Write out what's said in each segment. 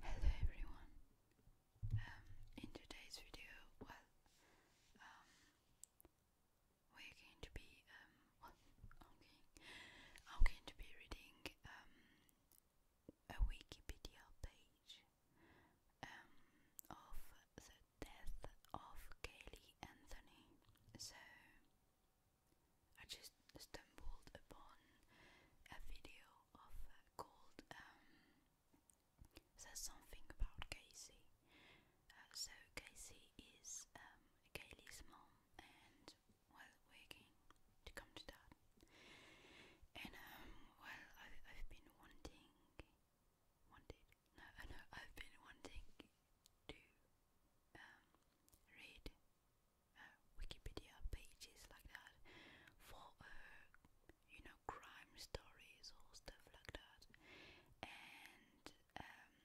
Hello everyone. Um, in today's video, well, um, we're going to be um, I'm going to be reading a Wikipedia page of the death of Kaylee Anthony. So I just stumbled upon a video of called um, "Says Something About Casey." Uh, so Casey is um, Kaylee's mom, and we're going to come to that. And um, well, I, have been wanting, wanted. No, I have been wanting to read uh, Wikipedia pages like that for uh, you know crime stories or stuff like that. And um,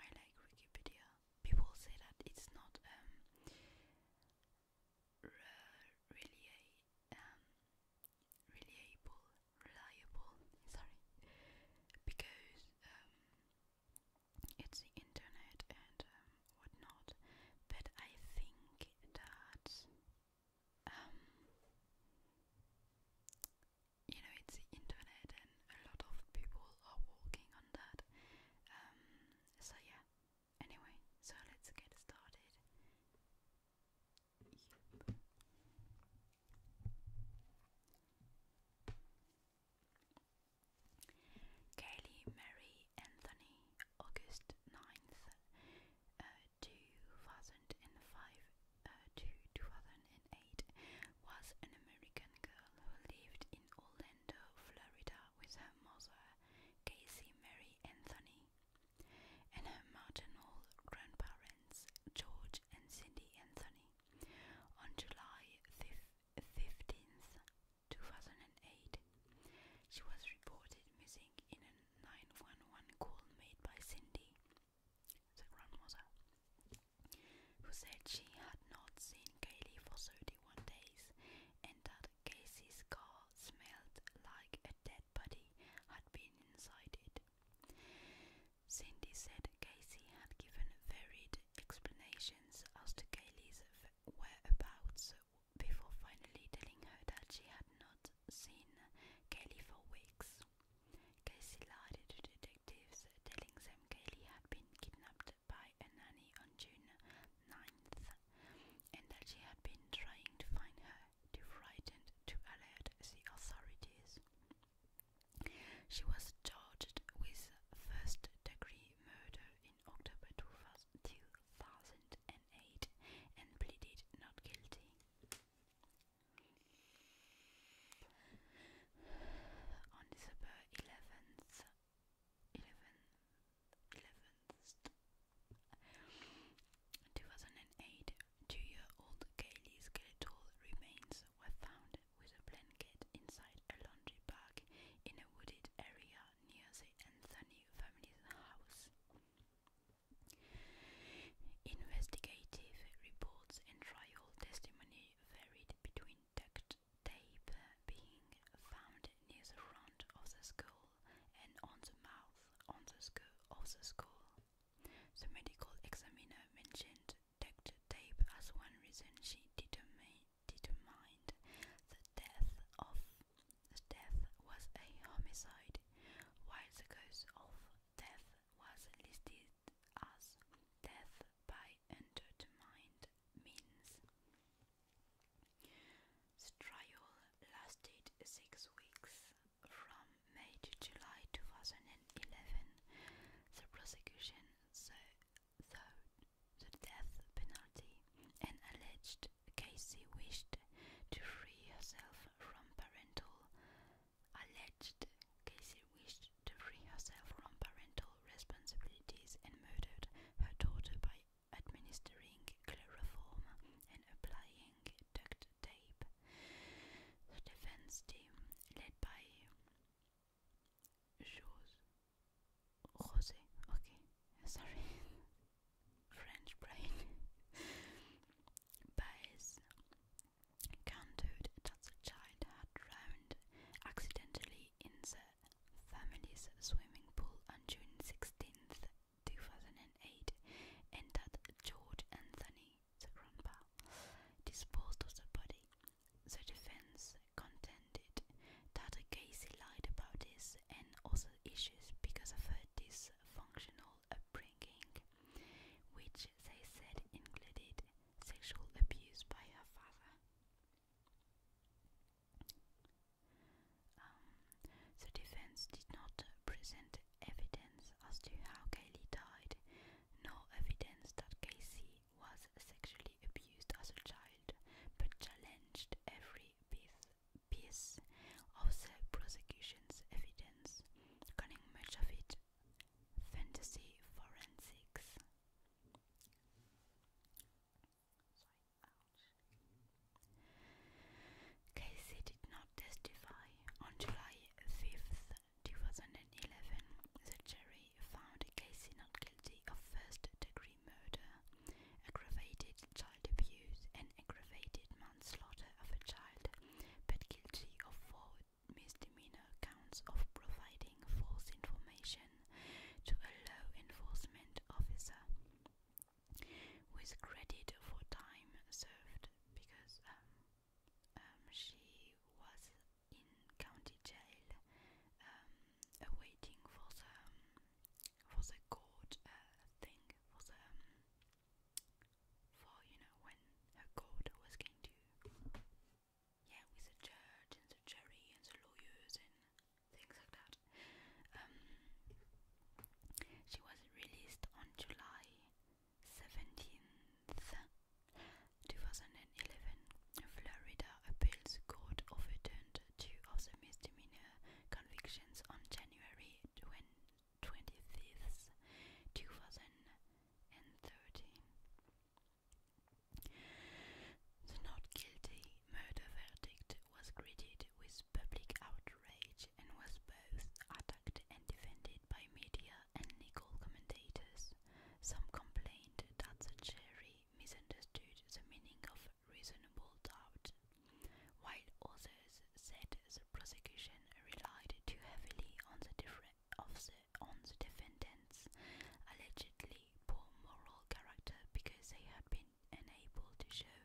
I like Wikipedia. People say that it's not um, re really a, um, reliable, reliable. Sorry, because um, it's the internet and um, whatnot, but I think that um, you know it's the internet and a lot of people are working on that. Um, so yeah. Anyway, so let's get started. Kaylee Mary Anthony, August 9th, uh, 2005 uh, to 2008, was an American girl who lived in Orlando, Florida with her mother, Casey Mary Anthony, and her maternal grandparents, George and Cindy Anthony. On July 15th, 2008. She was reported missing in a 911 call made by Cindy, the grandmother, who said she had not seen Kaylee for 31 days and that Casey's car smelled like a dead body had been inside it. Cindy said Casey had given varied explanations as to Kaylee's whereabouts before finally telling her that she had not seen Kaylee for weeks. Casey lied to detectives, telling them Kaylee had been kidnapped by a nanny on June 9th and that she had been trying to find her, too frightened to alert the authorities. She was charged with first degree murder in October 2012. 2008 and pleaded not guilty. On December 11th, 11th, 2008, two-year-old Kaylee skeletal remains were found with a blanket inside a laundry bag in a wooded area near the Anthony family's house. Investigative reports and trial testimony varied between duct tape being found near the front of the skull and on the mouth on the skull of the skull. The medical examiner mentioned duct tape as one reason she determined determined the death of death was a homicide, while the cause of death was listed as death by undetermined means. The trial lasted six weeks from May to July 2011. The prosecution, though, the death penalty and alleged Casey wished to free herself from parental alleged Casey wished to free herself from parental responsibilities and murdered her daughter by administering chloroform and applying duct tape. The defense team led by Jules Jose, okay, sorry, French brain, Baez counted that had drowned accidentally in the family's swimming pool on June 16th, 2008, and that George Anthony, the disposed of the body. The defense contended that Casey lied about his and also issues because of her dysfunctional upbringing, which they said included sexual abuse by her father. the um, defense did not present evidence as to how Kaylee died, nor evidence that Casey was sexually abused as a child, but challenged every piece piece of the prosecution's evidence, calling much of it fantasy forensics. Casey did not testify on July 5th. 2011, the jury found Casey not guilty of first degree murder, aggravated child abuse, and aggravated manslaughter of a child, but guilty of four misdemeanor counts of providing false information to a law enforcement officer with credit for time served because um, um, she was in county jail um, waiting for the for the court uh, thing for the for you know when her court was going to yeah with the judge and the jury and the lawyers and things like that. Um, she was released on July seventeenth. 2011, Florida Appeals Court overturned two of the misdemeanor convictions on January 25th, 2013. The not guilty murder verdict was greeted with public outrage and was both attacked and defended by media and legal commentators. Some complained that the jury misunderstood the meaning of reasonable doubt, while others said the prosecution relied too heavily on the, of the, on the defendants' allegedly poor moral character because they had been unable to show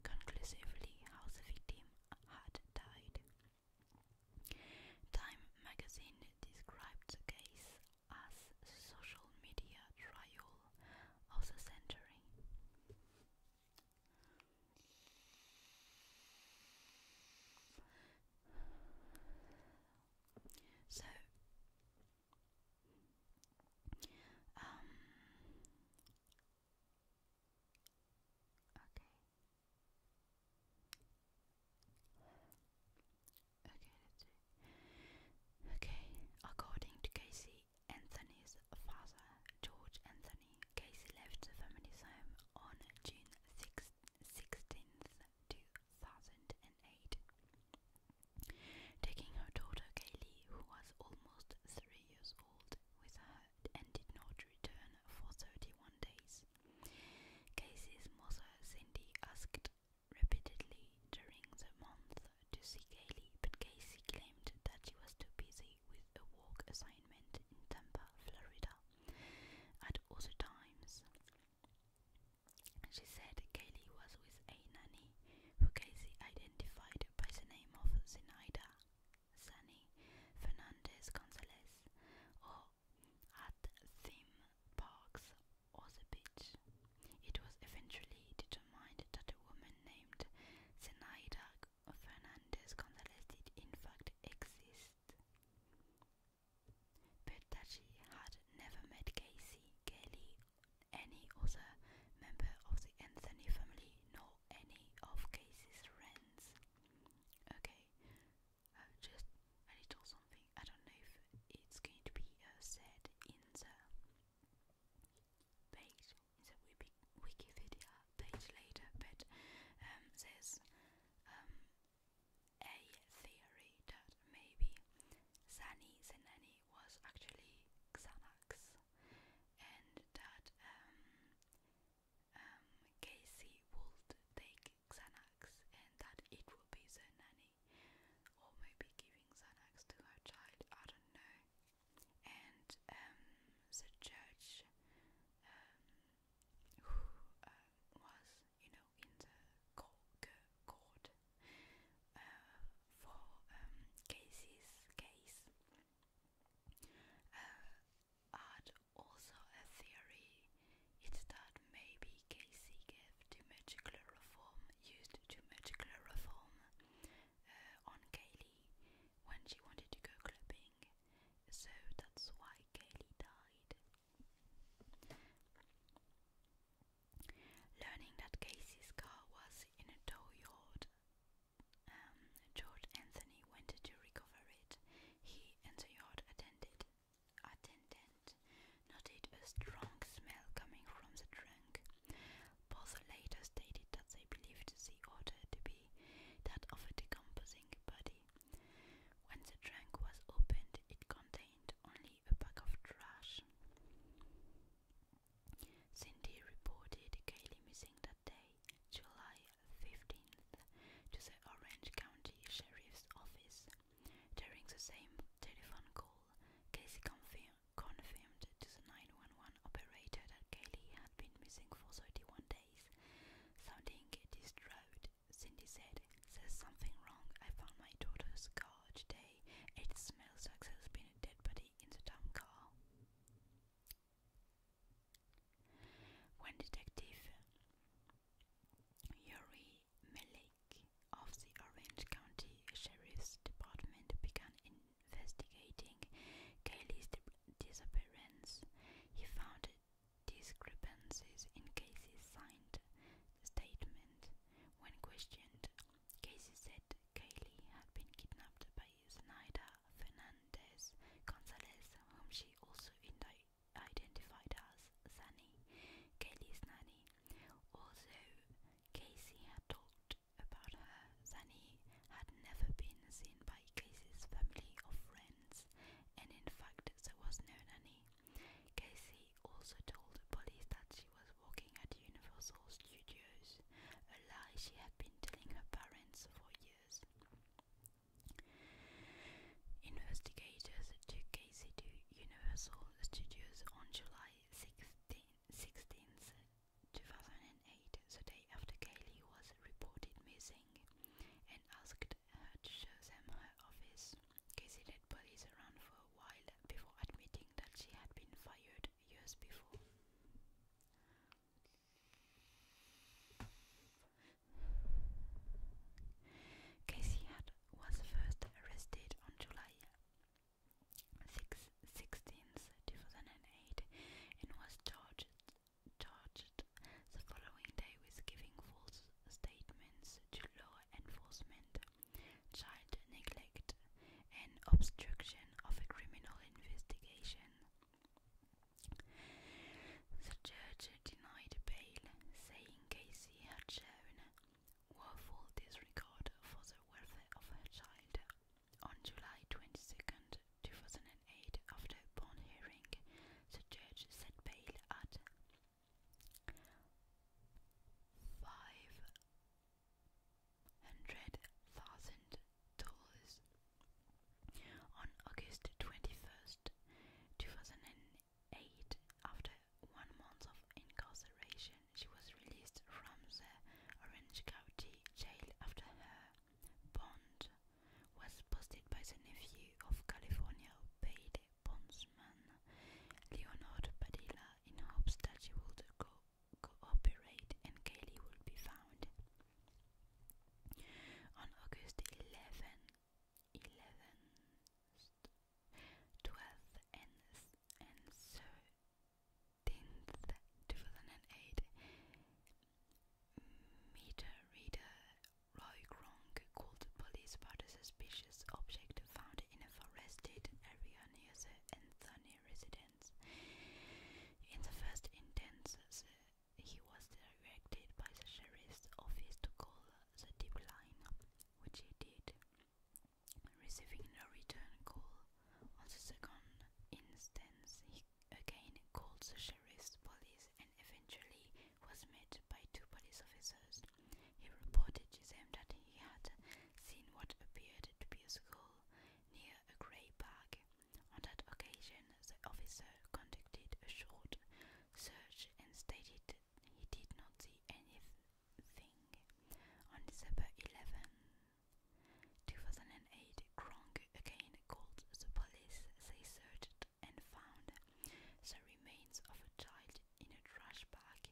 conclusively how the victim had died. Time magazine described the case as a social media trial of century. So, um, okay, okay, Okay, according to Casey Anthony's father, George Anthony, Casey left the family's home on June 6, 16th, 2008, taking her daughter Kaylee, who was almost three years old, with her and did not return for 31 days. Casey's mother, Cindy, asked repeatedly during the month to see Kaylee, but Casey claimed that she was too busy with a work assignment in Tampa, Florida. At other times, she said Kaylee was with a nanny, who Casey identified by the name of Zenaida Sunny Fernandez Gonzalez, or at theme parks or the beach. It was eventually determined that that a woman named Zenaida Fernandez Gonzalez did in fact exist, but that she had never met Casey, Kelly, any other member of the Anthony family, nor any of Casey's friends. Okay, uh, just a little something. I don't know if it's going to be uh, said in the page, it's a wiki, Wikipedia page later, but um, there's um, a theory that maybe Zani Zenani was actually Xanax, and that um, um, Casey would take Xanax, and that it would be Zenani, or maybe giving Xanax to her child. I don't know and um, the judge um, who uh, was, you know, in the court, court uh, for um, cases case uh, had also a theory. It's that maybe Casey gave too much chloroform, used too much chloroform uh, on Kaylee when she wanted to go clubbing, so that's why Kelly died. Learning that Casey's car was in a tow yard, um, George Anthony went to recover it. He and the yard attended, attendant noted a strong smell coming from the trunk, both later stated that they believed the order to be that of a decomposing body. When the trunk was opened, it contained only a bag of trash. Cindy reported Kaylee missing that day, July 15th, to the Orange County Sheriff's Office. During the same telephone call, Casey confirmed confirmed to the 911 operator that Kaylee had been missing for 31 days. Sounding distraught, Cindy said, There's something wrong. I found my daughter's car today. It smells like there's been a dead body in the damn car. When Detective Yuri Melik of the Orange County Sheriff's Department began in investigating Kaylee's disappearance, he found discrepancies in Casey's signed statement. When questioned, Casey said Kaylee had been kidnapped by Zenaida Fernandez Gonzalez, whom she also identified as Sunny, Kaylee's nanny. Although Casey had told about her, Zani had never been seen by Casey's family or friends, and in fact, there was no nanny. Casey also told the police that she was working at Universal Studios, a lie she had been telling her parents for years. Investigators took Casey to Universal Studios on July 16th, 16th 2008, the day after Kaylee was reported missing and asked her to show them her office, Casey led police around for a while before admitting that she had been fired years before. Casey had was first arrested on July 6, 16th, 2008 and was charged, charged the following day with giving false statements to law enforcement, child neglect and obstruction of a criminal investigation. The judge denied bail, saying Casey had shown woeful disregard for the welfare of her child on July twenty second, two 2008, after a bond hearing, the judge set bail at $500,000. On August 21st, 2008, after one month of incarceration, she was released from the Orange County Jail after her Bond was posted by the nephew of California paid bondsman Leonard Padilla in hopes that he would cooperate and Kelly would be found. On August 11, and, and 15th, 2008, meter reader Roy Gronk called police about a suspicious object found in a forested area near the Anthony residence. In the first instance, he was directed by the sheriff's office to call the tip line, which he did. Receiving no return call, on the second instance, he again called the sheriff's police and eventually was met by two police officers. He reported to them that he had seen what appeared to be a skull near a grey bag. On that occasion, the officer conducted a short search and stated he did not see anything. On December 11, 2008, Kronk again called the police. They searched and found the remains of a child in a trash bag.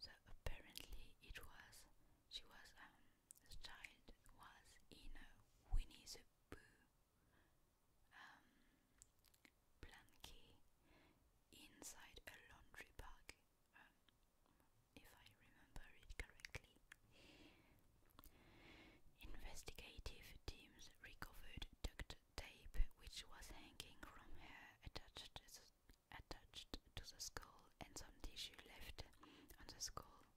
So apparently it was she was um the child was in a Winnie the Pooh um blanket inside a laundry bag if I remember it correctly. Investigative teams recovered duct tape which was hanging from hair attached attached to the skull and some tissue left on the skull.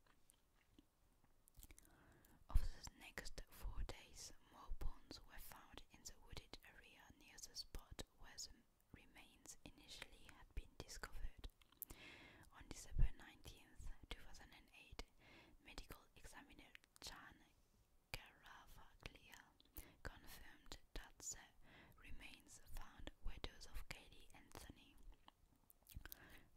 Over the next four days, more bones were found in the wooded area near the spot where remains initially had been discovered. On December 19, 2008, medical examiner Chan Garavaglia confirmed that the remains found were those of Katie Anthony.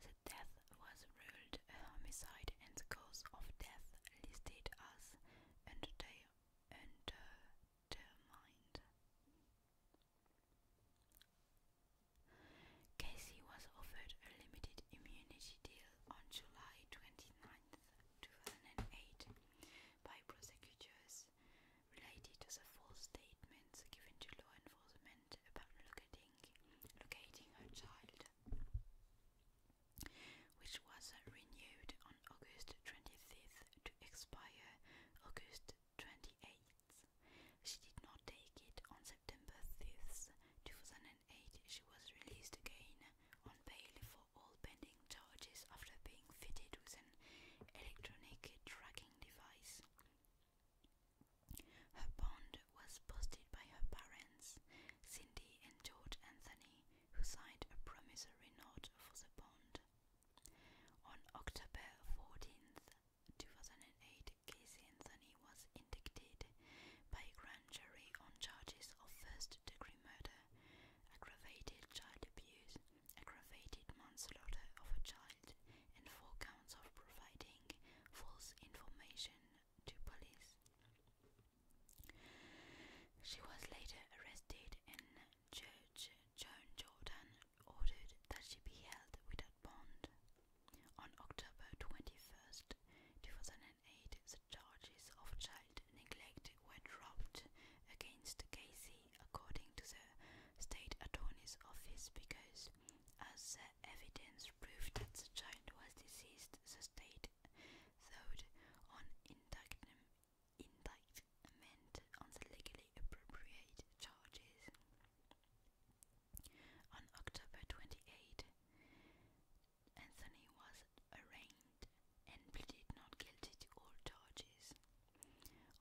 The death was ruled a homicide and the cause of death listed as under Underdetermined. Casey was offered a limited immunity deal on July 29, 2008, by prosecutors related to the false statements given to law enforcement about locating, locating her child, which was renewed on August 25th to expire August 28th. She did not take it on September 5th, 2008. She was released again on bail for all pending charges after being fitted with an electronic tracking device. Her bond was posted by her parents, Cindy and George Anthony, who signed a promissory note for the bond. On October 14th, 2008, Casey Anthony was indicted by grand jury on charges of first-degree murder, aggravated child abuse, aggravated manslaughter of a child, and four counts of providing false information to police. She was later arrested in Judge Joan Jordan ordered that she be held without bond. On October 21st, 2008, the charges of child neglect were dropped against Casey, according to the state attorney's office, because, as the evidence proved that the child was deceased, the state thought on indictment on the legally appropriate charges. On October 28, Anthony was arraigned and pleaded not guilty to all charges.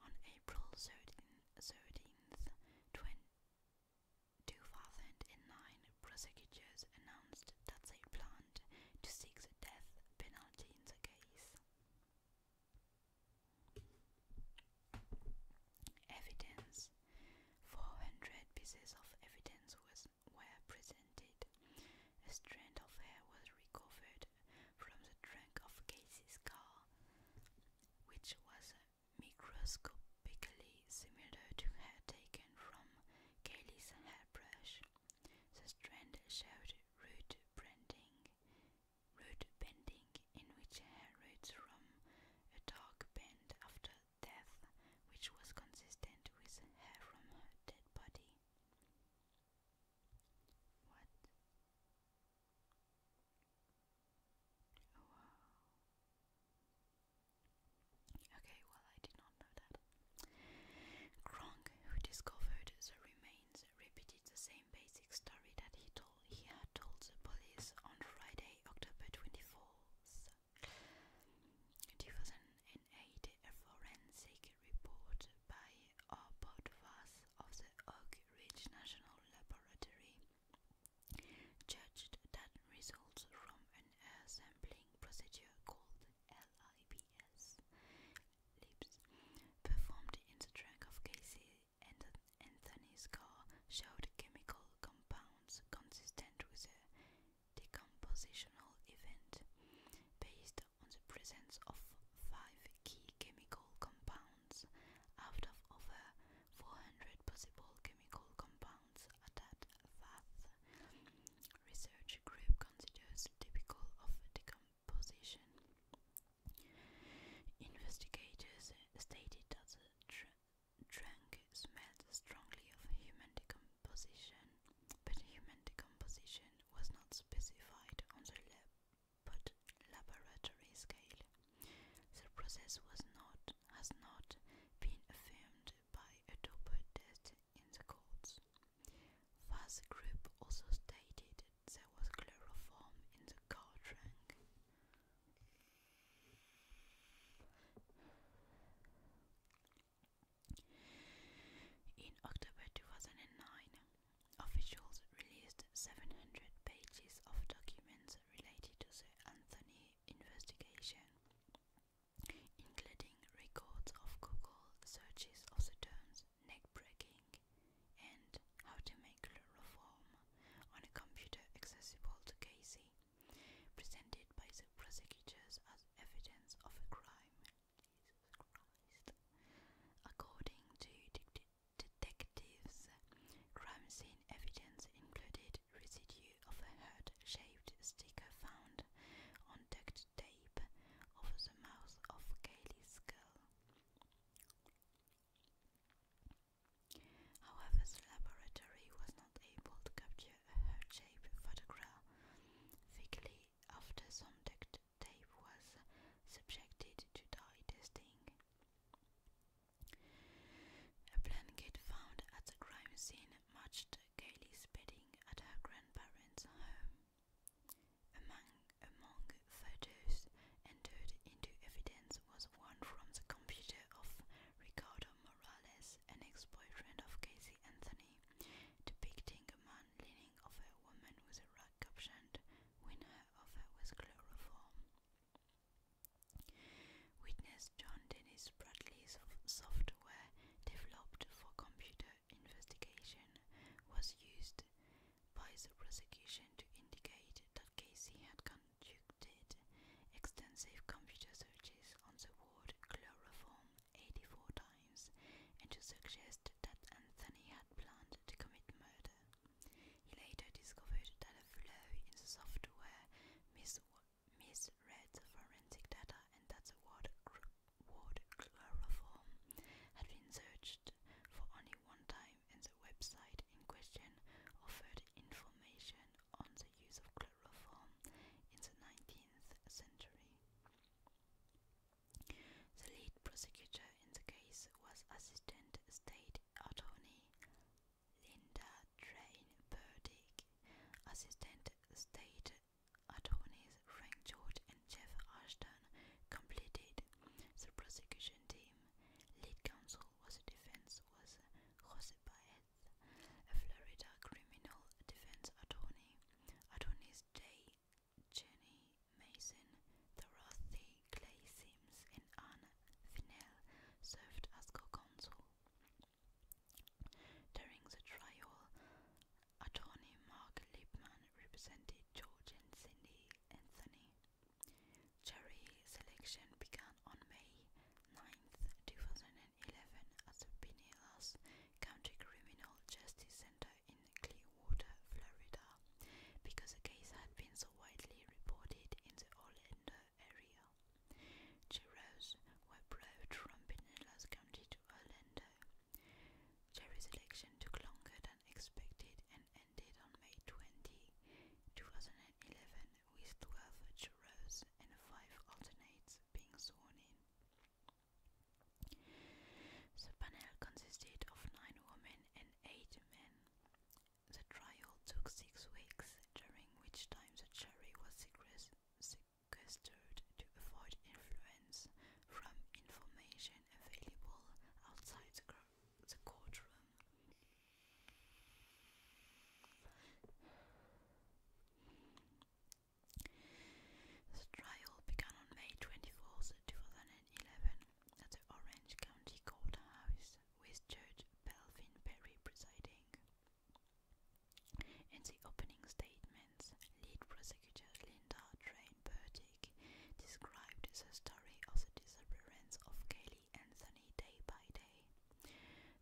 On April 13th, 2009, prosecutors announced that they planned to seek the death penalty in the case. Evidence 400 pieces of evidence was, were presented. A strand of hair was recovered from the trunk of Casey's car, which was microscopically similar to hair taken from Kaylee's hairbrush. The strand showed root branding, road bending, in which hair roots from a dark bend after death, which was consistent with hair from her dead body. Oh, okay, well, I did not know that. Kronk, who discovered the remains, repeated the same same basic story that he told he had told the police on Friday, October 24th, 2008. A forensic report by Arbot of the Oak Ridge National Laboratory judged that results from an sampling procedure called LIBS performed in the trunk of cases and Anthony's car showed chemical compounds consistent with a decompositional event based on the presence of five key chemical compounds out of over 400 possible chemical compounds that Bath. Research group considers typical of decomposition. Investigators stated that the trunk smelled strongly of human decomposition, but human decomposition was not specified on the lab but laboratory scale. The process was not has not been affirmed by a Doppler test in the courts. Fast group also stated there was chloroform in the car trunk. In October 2009, officials released 700 pages of documents related to the Anthony investigation, including records of Google searches of the terms neck breaking and how to make Molecular Reform on a computer accessible to Casey, presented by the prosecutors as evidence of a crime. According to detectives, crime scene evidence included residue of a heart-shaped sticker found on duct tape over the mouth of Kaylee's skull. However, the laboratory was not able to capture a heart-shaped photograph quickly after some duct tape was subjected to dye testing. A blanket found at the crime scene matched Kaylee's bedding at her grandparents' home. Among, among photos entered into evidence was one from the computer of Ricardo Morales, an ex-boyfriend of Casey Anthony, depicting a man leaning over a woman with a rag captioned, "Win her over with chloroform." Witness John Dennis Bradley's software developed for computer investigation was used by the prosecution to indicate that Casey had con conducted extensive computer searches on the word chloroform 84 times and to suggest that Anthony had planned to commit murder. He later discovered that a flaw in the software mis misread the forensic data and that the word, chloroform had been searched for only one time in the website in question offered information on the use of chloroform in the 19th century. The lead prosecutor in the case was Assistant State Attorney Linda Train Burdick. Assistant State Attorneys Frank George and Jeff Ashton completed the prosecution team. Lead counsel was a defense was Jose Baez, a Florida criminal defense attorney. Attorneys Jay, Jenny Mason, Dorothy Clay Sims, and Anne Finnell served as co-counsel. During the trial, attorney Mark Liebman represented George and Cindy Anthony. Jury selection began on May 9, 2011 at the Pinellas County Criminal Justice Center in Clearwater, Florida, because the case had been so widely reported in the Orlando area. Jurors were brought from Pinellas County to Orlando. Jury selection took longer than expected and ended on May 20, 2011 with twelve jurors and five alternates being sworn in. The panel consisted of nine women and eight men. The trial took six weeks, during which time the jury was sequestered to avoid influence from information available outside the, the courtroom. The trial began on May 24, 2011, at the Orange County Courthouse, with Judge Belvin Perry presiding. In the opening statements, lead prosecutor Linda Train Burdick described the story of the disappearance of Kelly Anthony day by day.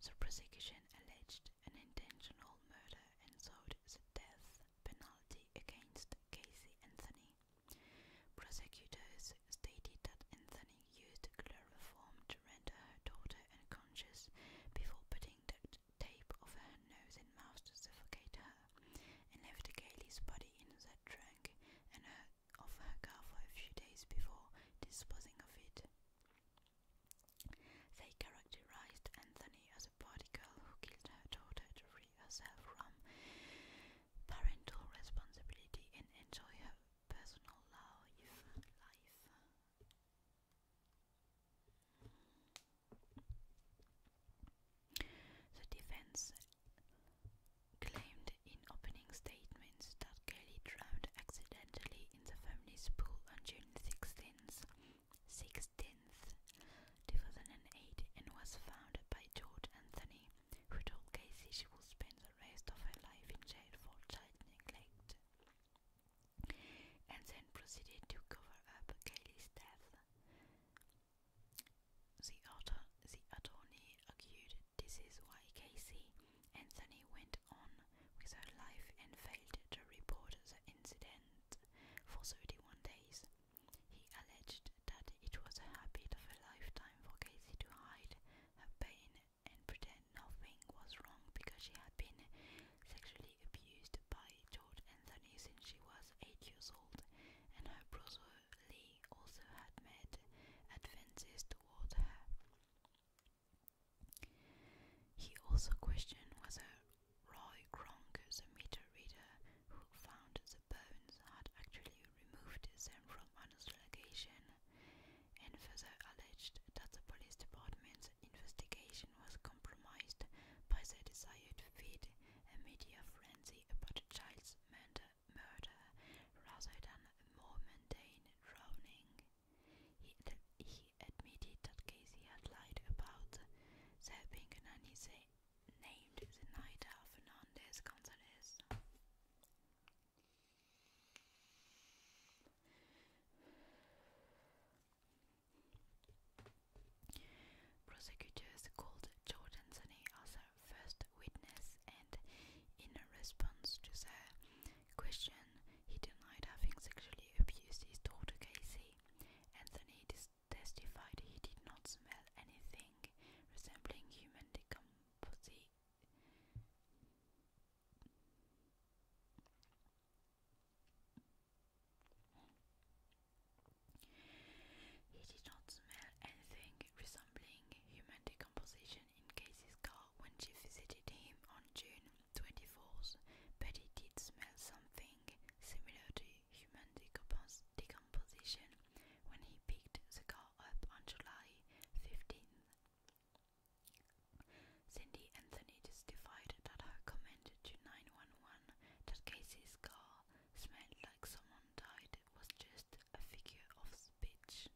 The prosecution alleged an intentional murder and sought the death penalty against Casey Anthony. Prosecutors stated that Anthony used chloroform to render her daughter unconscious before putting tape over her nose and mouth to suffocate her, and left the Kaylee's body in the trunk and her of her car for a few days before disposing of it. They characterized Anthony as a party girl who killed her daughter to free herself from parental responsibility and enjoy her personal life. life. The defense claimed in opening statements that Kelly drowned accidentally in the family's pool on June 16th, 16th 2008 and was found by George Anthony, who told Casey she would spend the rest of her life in jail for child neglect, and then proceeded to cover up Kelly's death. The, author, the attorney argued this is why Casey Anthony went on with her life and failed to report the incident for 31 days. He alleged that it was a habit of a lifetime for Casey to hide her pain and pretend nothing was wrong because she had been sexually abused by George Anthony since she was 8 years old, and her brother Lee also had made advances toward her. He also questioned whether Roy Kronk, the meter reader who found the bones, had actually removed them from Anna's location, and further alleged that the police department's investigation was compromised by their desire to feed a media frenzy about a child's murder rather than a more mundane drowning. He, admitted that Casey had lied about there being a nanny named Zenaida Fernandez Gonzalez. Prosecutors called Jordan Zaney as their first witness, and in response to their Question, he denied having sexually abused his daughter Casey. Anthony testified he did not smell anything resembling human decomposing. He did not smell anything resembling human decomposition in Casey's car when she visited him on June 24th, but he did smell something similar to human decomposition when he picked the car up on July 15th. Cindy Anthony testified that her comment to 911 that Casey's car smelled like someone died was just a figure of speech.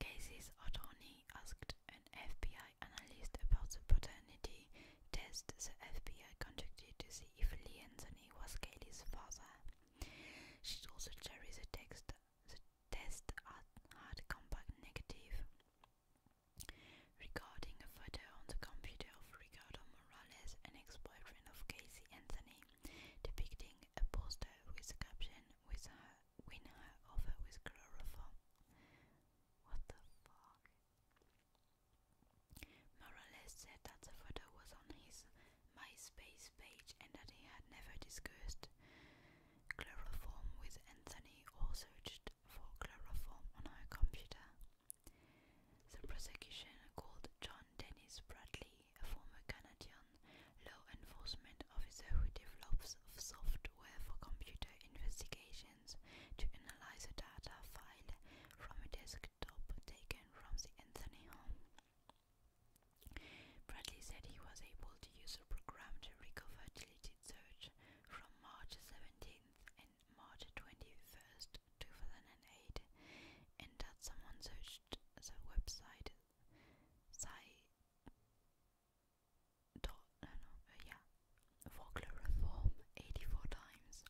Casey's attorney asked an FBI analyst about the paternity test the FBI conducted to see if Lee Anthony was Kaylee's father. She also the jury the, text, the test had come back negative. Recording a photo on the computer of Ricardo Morales, an ex-boyfriend of Casey Anthony, depicting a poster with the caption with her win her over with chloroform. What the fuck? Morales said that the photo was on his MySpace page and that he had never discussed chloroform with Anthony or searched for chloroform on her computer. The prosecution called John Dennis Bradley, a former Canadian law enforcement officer who develops software for computer investigations, to analyze the data file from a desktop taken from the Anthony home. Bradley said he was able to use a program to recover deleted search from March 17th and March 21st, 2008, and that someone searched the website uh, yeah, Vogler Reform 84 times.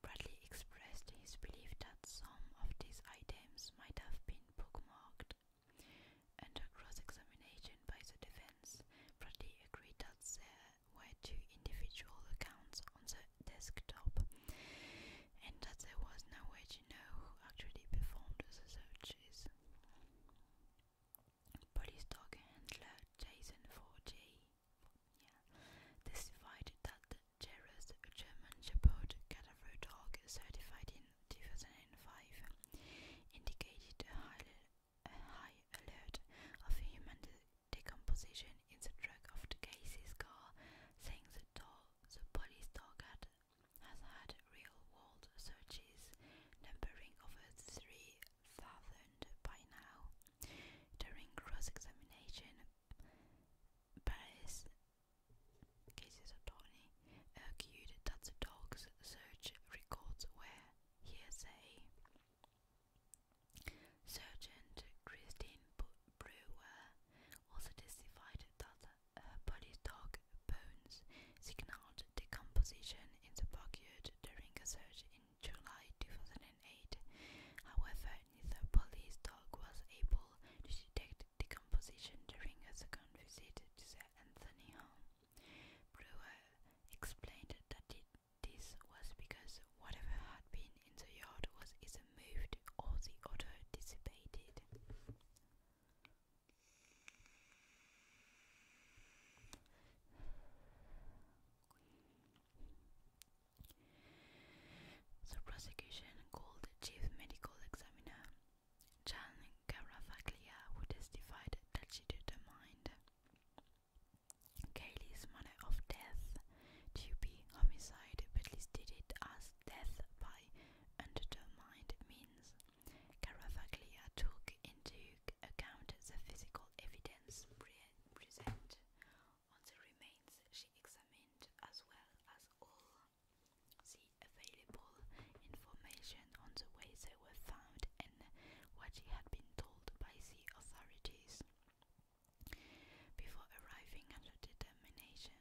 Bradley expressed his belief that some of these items might have been bookmarked. Under cross examination by the defense, Bradley agreed that were two individual accounts on the desktop, and that there was no way to know who actually performed the searches. Police dog handler Jason 4 testified that Jerez, German Shepherd Cadaver dog certified in 2005, indicated a a high alert of human decomposition in the drug of the case's car, saying the, the police target has had real-world searches numbering over 3,000 by now. During cross-examination, Paris cases attorney argued that the dog's search records were hearsay. Sergeant Christine Brewer also testified that her police dog bones signaled decomposition in the backyard during a search in July 2008. However, neither police dog was able to detect decomposition during a second visit to the Anthony home. Brewer explained that it this was because whatever had been in the yard was either moved or the odor dissipated. The prosecution called chief medical examiner. Jan Garavaglia, who testified that she determined Cayley's manner of death to be homicide, but listed it as death by undetermined means. Caravaglia took into account the physical evidence present on the remains she examined, as well as all the available information on the way they were found and what she had been told by the authorities. Before arriving at a determination,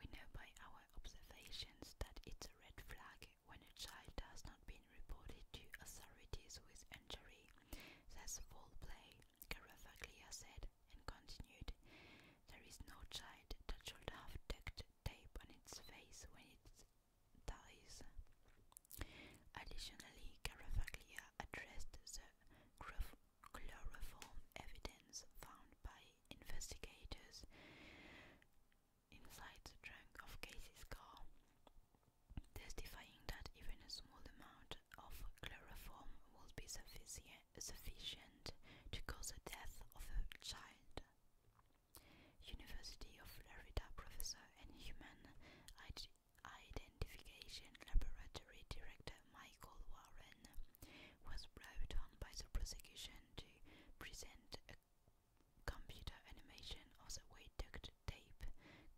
we know by our observations that it's a red flag when a child has not been reported to authorities with injury. That's foul play, Garafaglia said, and continued. There is no child that should have duct tape on its face when it dies. Additionally, Caravaglia addressed the chloroform evidence found by investigators inside the trunk of Casey's car, testifying that even a small amount of chloroform would be sufficient to cause the death of a child. University of Florida professor and human Identification Laboratory Director Michael Warren was brought on by the prosecution to present a computer animation of the way duct tape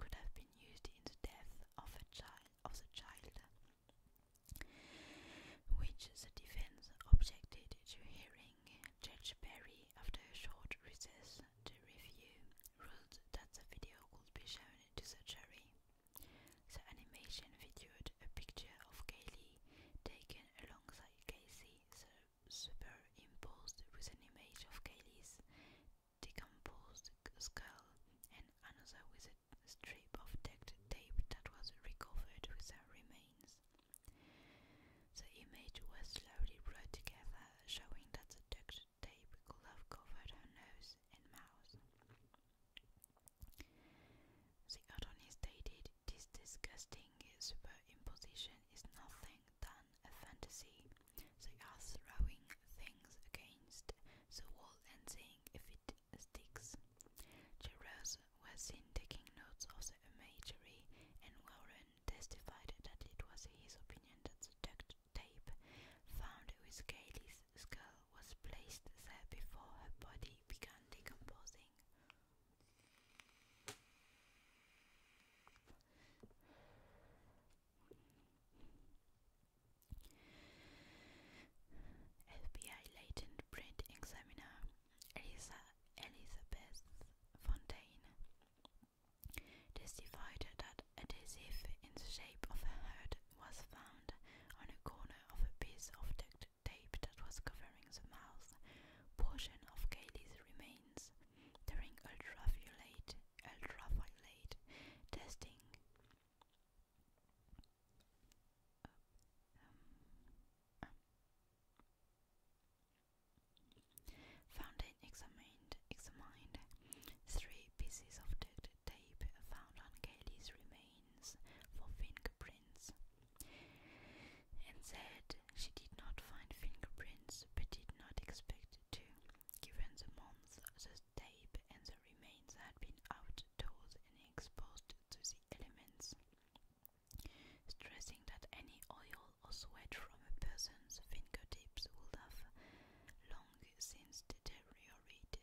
could have been used in the death of a child of the child, which the defense objected to hearing. Judge Perry, after a short recess to review, ruled that the video would be shown to the jury. The animation featured a picture of Kaylee taken alongside Casey, superimposed with an image of Kaylee's decomposed skull and another with a strip of duct tape that was recovered with her remains. The image was slowly brought together, showing that the duct tape could have covered her nose and mouth. The attorney stated this disgusting superimposition is nothing than a fantasy. They are throwing things against the wall and seeing if it sticks. Jurors were seen taking notes of the imagery, and Warren testified that it was his opinion that the duct tape found with Kaylee's skull was placed there before her body began decomposing. FBI latent print examiner Elisa Elizabeth Fontaine it is divided that adhesive in the shape of a head was found on a corner of a piece of duct tape that was covering the mouth portion of Cayley's remains during ultra ultraviolet ultraviolet testing. Founded examination mind examined, three pieces of duct tape found on Kaylee's remains for fingerprints, and said she did not find fingerprints but did not expect to, given the month the tape and the remains had been outdoors and exposed to the elements. Stressing that any oil or sweat from a person's fingertips would have since deteriorated.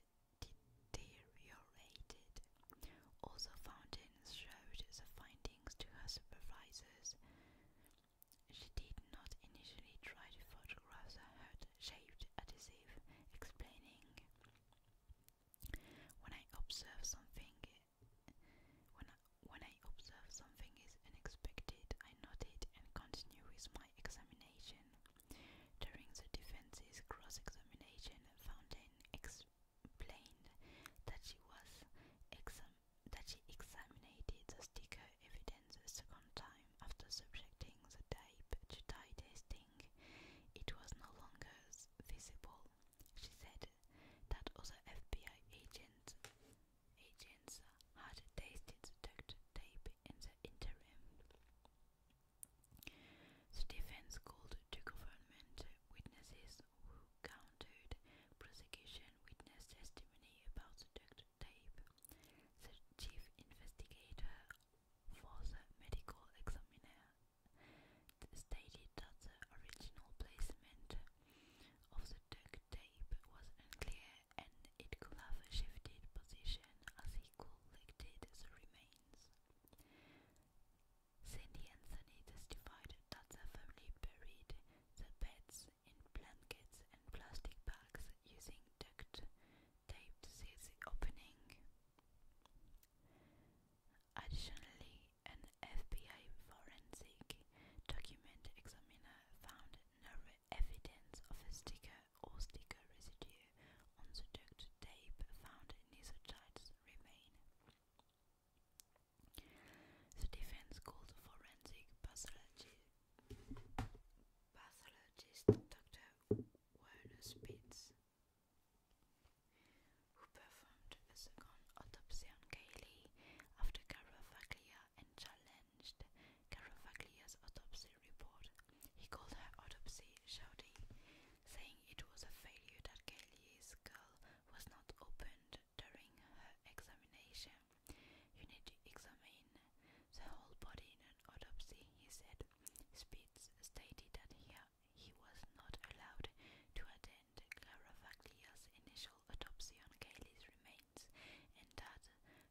deteriorated. Also, Fountains showed the findings to her supervisors. She did not initially try to photograph the heart shaped adhesive, explaining, When I observe something, when when I observe something is unexpected, I note it and continue with my examination. During the defense's cross examination, Fountain explained that she was that she examined the sticker evidence a second time after subjecting the tape to dye testing. It was no longer visible. She said that other FBI agents had tasted the tape in the interim. The defense called two government witnesses who countered prosecution witness testimony about the duct tape. The chief investigator for the medical examiner stated that the original placement of the duct tape was unclear and it could have shifted position as he collected the remains. Sandy Anthony testified that the family buried the beds in blankets and plastic bags using duct tape to seal the opening. Additionally, an FBI forensic document examiner found no evidence of a sticker or sticker residue on the duct tape found in his Isotite's remain. The defense called forensic pathologist Dr. Werner Spitz, who performed a second autopsy on Cayley after Carol and Charlene challenged autopsy report. He called her autopsy shoddy, saying it was a failure that Galli's skull was not opened during her examination. You need to examine the whole body in an autopsy, he said. Spitz stated that he, was not allowed to attend Clarafaglia's initial autopsy on Cayley's remains and that,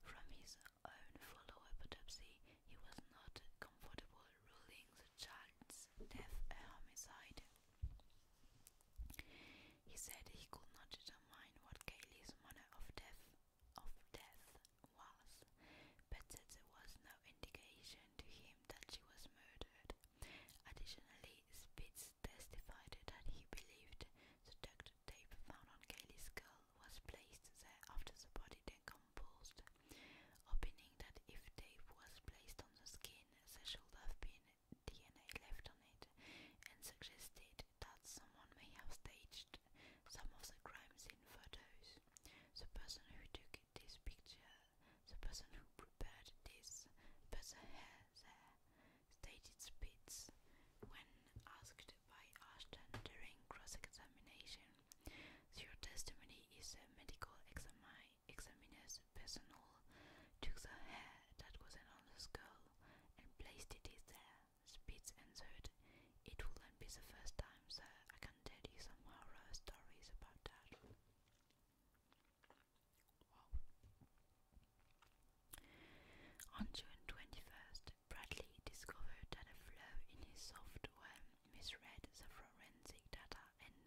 from his own follow-up autopsy, he was not comfortable ruling the child's death a homicide. He said he could not determine what Kaylee's manner of death of death was, but that there was no indication to him that she was murdered. Additionally, Spitz testified that he believed the duct tape found on Kaylee's skull was placed there after the body decomposed, opening that if tape was placed on the skin, there should have been DNA left on it, and suggested that someone may have staged some of the crimes in photos. The person who took this picture, the person who prepared this, put the stated Spitz when asked asked by Ashton during cross-examination. Your testimony is a medical exami examiner's personal. Took the hair that was on the skull and placed it there. Spitz answered, "It wouldn't be the first time, sir. I can tell you some horror stories about that." On June 21st, Bradley discovered that a flaw in his software misread the forensic data and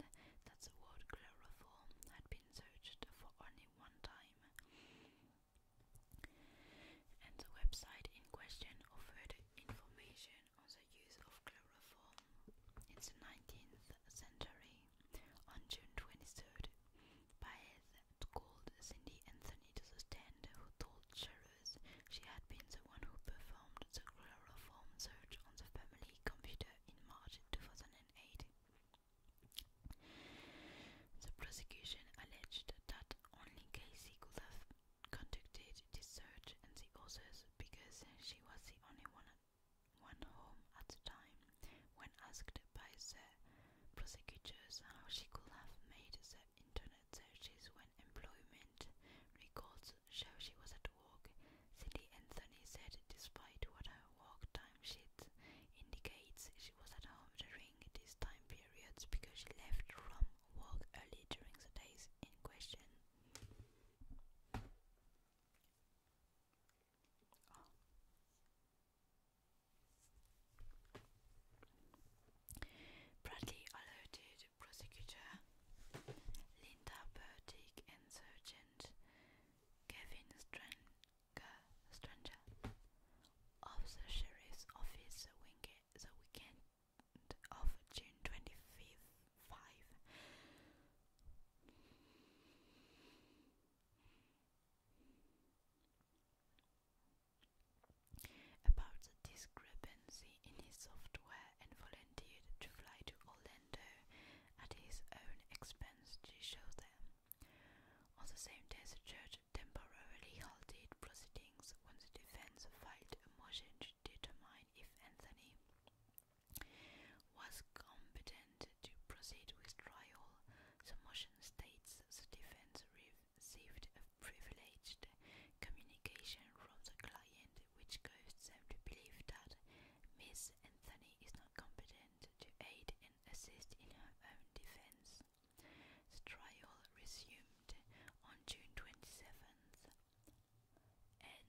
that the word chloroform had been searched for only one time. And the website in question offered information on the use of chloroform in the 19th century. On June 23rd, Baez called Cindy Anthony to the stand, who told Cheryl hours, she had been the one who performed the chloroform search on the family computer in March 2008. The prosecution alleged that only Casey could have conducted this search and the others because she was the only one, one home at the time. When asked by the prosecutors how she could have made the internet so she's when employment records show she was at work, Cindy Anthony said despite what her work time sheet indicates, she was at home during these time periods because she left from work early during the days in question. Ah. Bradley alerted prosecutor Linda Burdick and Sergeant Kevin Stranger of the Sheriff's Office the weekend of June 25th. Five about the discrepancy in his software and volunteered to fly to Orlando at his own expense to show them. On the same day, the judge temporarily halted proceedings when the defense filed a motion to determine if Anthony was competent to proceed with trial. The motion states the defense rev received a privileged communication from the client which caused them to believe that Miss Anthony is not competent to aid and assist in her own defense. The trial resumed on June 27th, and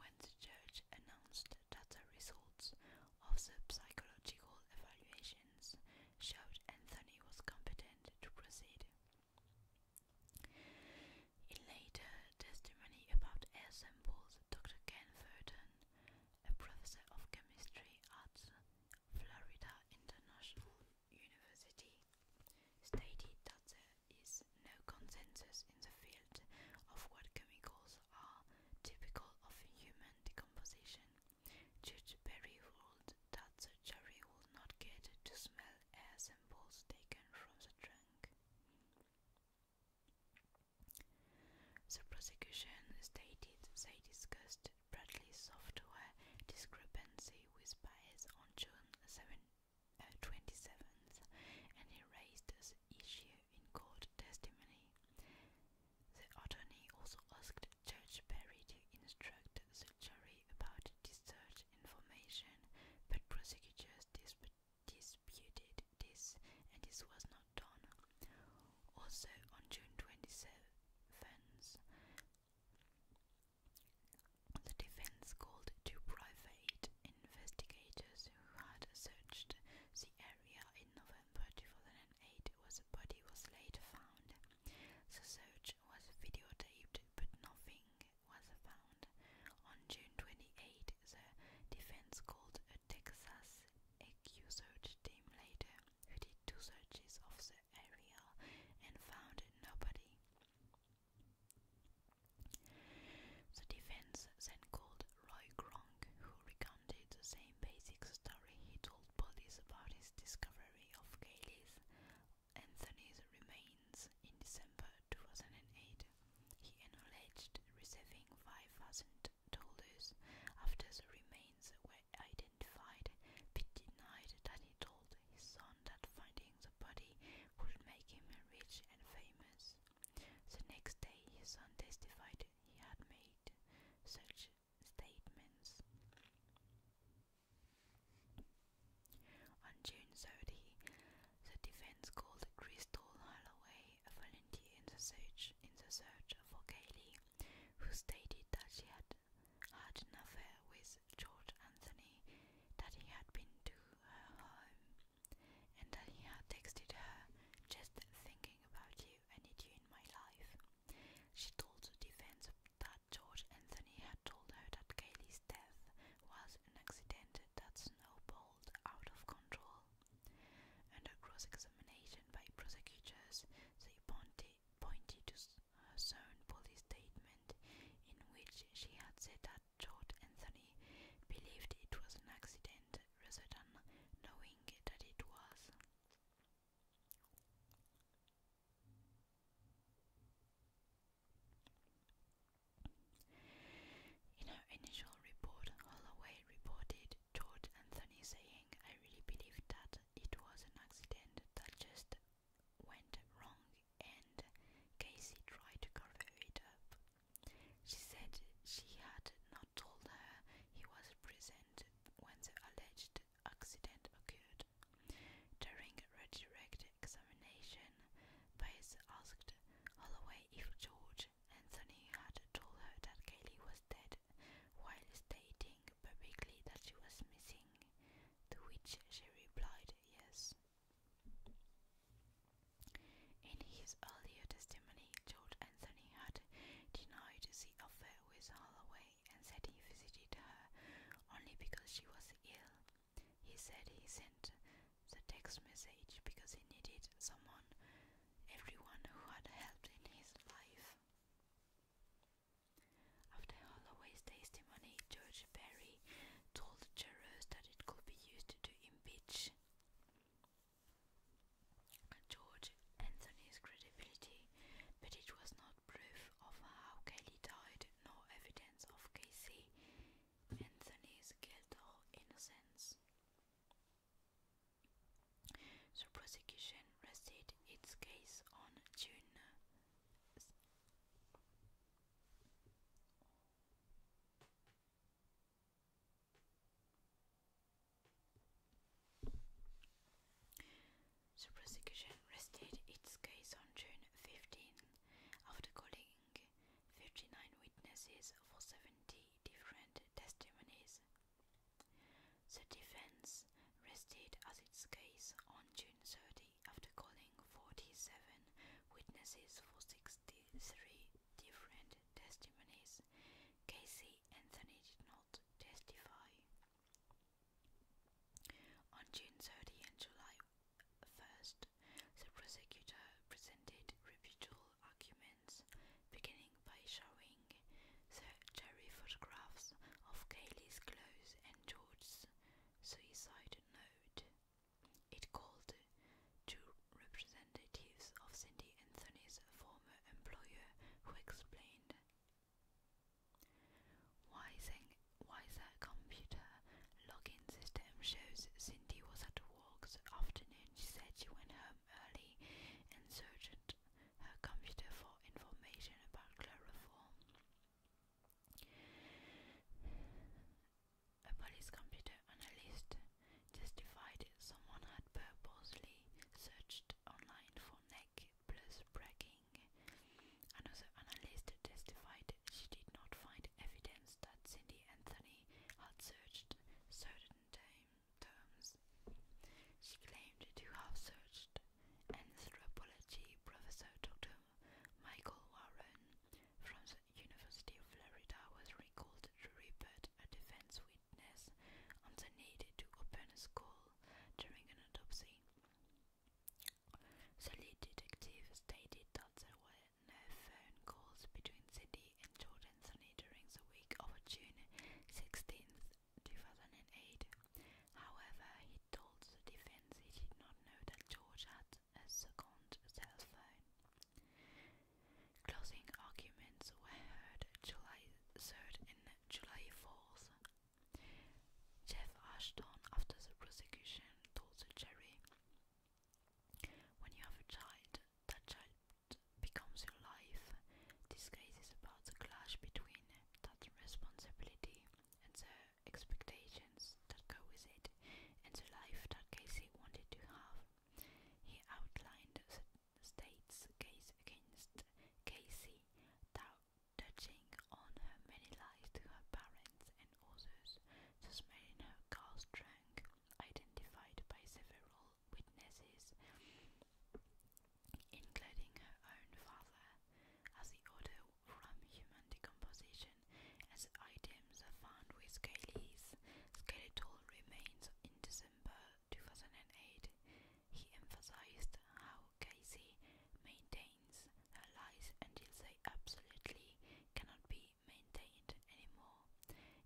when the judge announced that the results of the psychological evaluations showed Anthony was competent to proceed, in later testimony about air samples, Dr. Ken Furton, a professor of chemistry at Florida International University, stated that there is no consensus in the field of what chemicals are typical of human decomposition due to very old that surgery would not get to smell air samples taken from the trunk. The prosecution stated they discussed Bradley's software discrepancy with Baez on June 27th, uh, and he raised this issue in court testimony. The attorney also asked Judge to instructed the jury about the search information, but prosecutors disputed this, and this was not done. Also, on June 27th, the defense called two private investigators who had searched the area in November 2008, where the body was later found. The search was videotaped, but nothing was found. On June twenty eighth, the defense called a Texas EQ search team later, who did two searches of the area and found nobody. The defense then called Roy Gronk, who recounted the same basic story he told police about his discovery of Gailey's Anthony's remains in December 2008. He acknowledged receiving $5,000 after the remains were identified, He denied that he told his son that finding the body would make him rich and famous. The next day, his son testified he had made such statements. On June 30, the defense called Crystal Holloway a volunteer in the search, in the search for Kaylee, who stated that she had had an affair with George Anthony, that he had been to her home, and that he had texted her, just thinking about you and need you in my life. She told the defense that George Anthony had told her that Cayley's death was an accident that snowballed out of control. Under cross-examination by prosecutors, they pointed, pointed to her own police statement in which she had said that George Anthony believed it was an accident rather than knowing that it was. In her initial report, Holloway reported George Anthony saying, I really believe that it was an accident that just went wrong and Casey tried to cover it up. She said she had not told her he was present when the alleged accident occurred. During redirected examination, Bates asked Holloway if George Anthony had told her that Kelly was dead while stating publicly that she was missing, to which she replied yes. In his earlier testimony, George Anthony had denied the affair with Holloway and said he visited her only because she was ill he said he sent the text message because he needed someone, everyone who had helped in his life. After Holloway's testimony, George Perry told the jurors that it could be used to impeach George Anthony's credibility, but it was not proof of how Kelly died nor evidence of Casey and Anthony's guilt or innocence. The prosecution rested its case on June the prosecution rested its case on June 15 after calling 59 witnesses for 70 different testimonies. The defense rested as its case on June 30 after calling 47 witnesses for 63 different testimonies. Casey Anthony did not testify. On June 30 and July 1st, the prosecutor presented rebuttal arguments, beginning by showing the jury photographs of Cayley's clothes and George's suicide note. It called two representatives of Cindy Anthony's former employer who explained. Wising, Wiser Computer login system shows Cindy was at work this afternoon. She said she went home early and searched her computer for information about chloroform. A police computer analyst testified someone had purposely searched online for neck plus bragging Another analyst testified she did not find evidence that Cindy Anthony had searched certain terms. She claimed to have searched anthropology professor Dr. Michael Warren from the University of Florida was recalled to report a defense witness on the need to open a school during an autopsy. The lead detective stated that there were no phone calls between City and Jordan Sunny during the week of June 16, 2008. However, he told the defense he did not know that George had a second cell phone. Closing arguments were heard July 3rd and July 4th. Jeff Ashton, after the prosecution, told the jury, When you have a child, that child becomes your life. This case is about the clash between that responsibility and the expectations that go with it, and the life that Casey wanted to have. He outlined the state's case against Casey, touching on her many lies to her parents and others, suspecting her girls drank, identified by several witnesses, including her own father, as the odor from human decomposition as items are found with Kaylee's skeletal remains in December 2008. He emphasized how Casey maintained maintains their lies until they absolutely cannot be maintained anymore,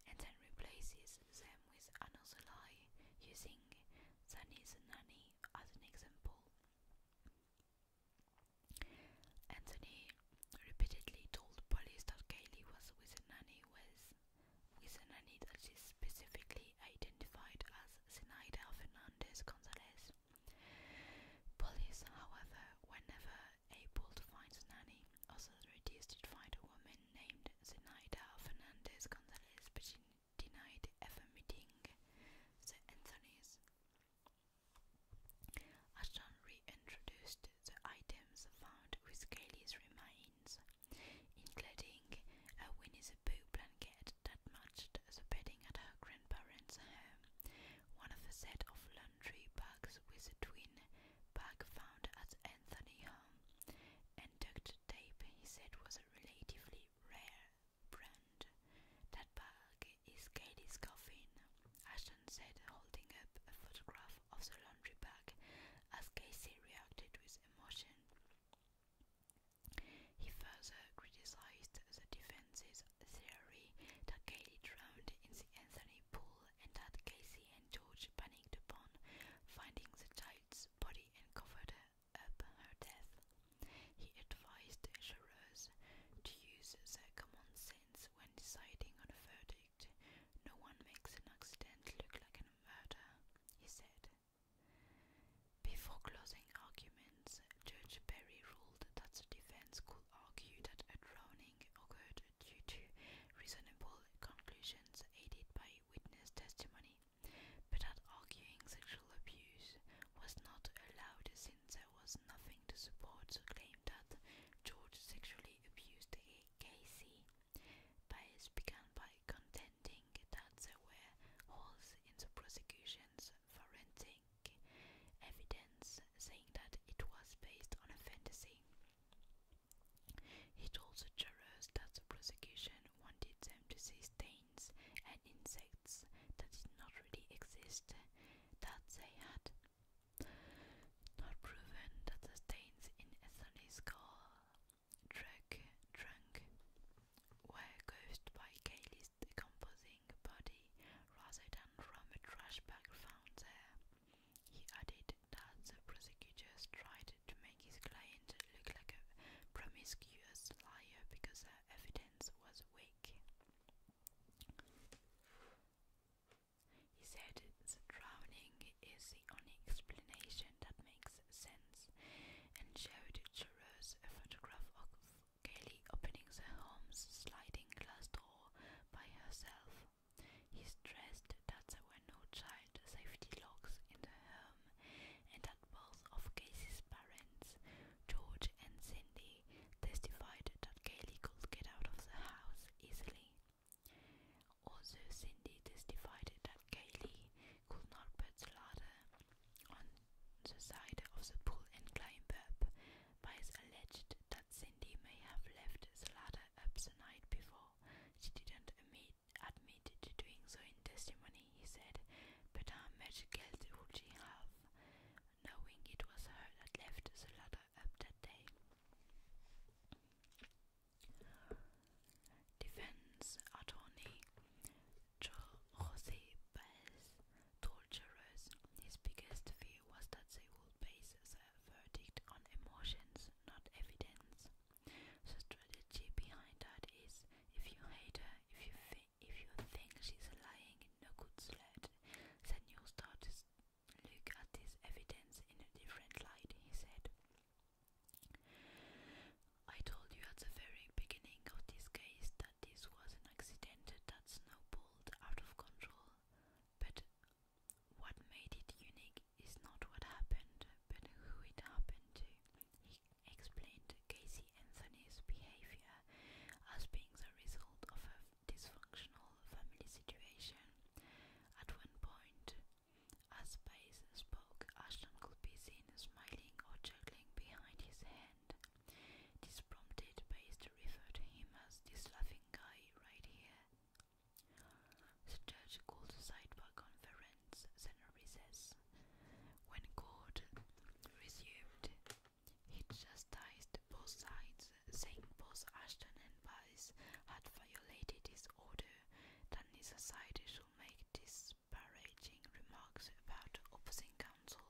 and then replaces them with another lie, using Sunny the Nanny as an example. Anthony repeatedly told police that Kaylee was with a nanny was with a nanny that is specifically identified as Zenaida Fernandez Gonzalez. Police, however, were never able to find Nanny, also reduced to find a woman named Zinaida Fernandez Gonzalez, but she denied ever meeting the Anthonys. Ashton reintroduced the items found with Kaylee's remains, including a Winnie the Pooh blanket that matched the bedding at her grandparents' home one of a set of laundry bags with a twin bag found at Anthony home, and duct tape he said was a relatively rare brand. That bag is Katie's coffin, Ashton said, holding up a photograph of the laundry bag as Casey reacted with emotion. He further criticized the defenses theory that Katy drowned in the Anthony Pool and that Casey and George panicked upon finding the child's body and covered up her death. He advised jurors to use their common sense when deciding on a verdict. No one makes an accident look like a murder, he said. Before closing arguments, Judge Perry ruled that the defense could argue that a drowning occurred due to reasonable conclusions aided by witness testimony, but that arguing sexual abuse was not allowed since there was nothing to support the claim that George sexually abused Casey. Baez began by contending that there were holes in the prosecution's forensic think evidence saying that it was based on a fantasy. He told the jurors that the prosecution wanted them to see stains and insects that did not really exist, that they had not proven that the stains in Ethany's car drug, drunk were caused by Kaylee's decomposing clothing body rather than from a trash bag found there. He added that the prosecutors tried to make his client look like a promiscuous liar because the evidence was weak. He said the drowning is the only explanation that makes sense and showed jurors a photograph of gaily opening the home's sliding glass door by herself. He stressed that there were no child safety locks in the home, and that both of Casey's parents, George and Cindy, testified that Gaily could get out of the house easily. Also, Cindy testified that Gaily could not put the ladder on the side of the pool and climb up by the alleged Cindy may have left the ladder up the night before. She didn't admit, admit to doing so in testimony, he said, but how much guilt would she have, knowing it was her that left the ladder up that day? Defense attorney Jose Baez torturers. His biggest fear was that they would base their verdict on emotions, not evidence. The strategy behind that is if you hate her, if you think if you think she's lying in no good sled, then you will start to look at this evidence in a different light, he said. I told you at the very beginning of this case that this was an accident that snowballed out of control. But what made it unique is not what happened, but who it happened to. He explained Casey Anthony's behavior as being the result of a dysfunctional family situation. At one point, as Baez spoke, Ashton could be seen smiling or juggling behind his hand. This prompted Bass to refer to him as this laughing guy right here. The judge called a sidebar conference, a recess. When court resumed, he chastised both sides, saying both Ashton and Bass had violated his order, that neither side should make disparaging remarks about opposing counsel.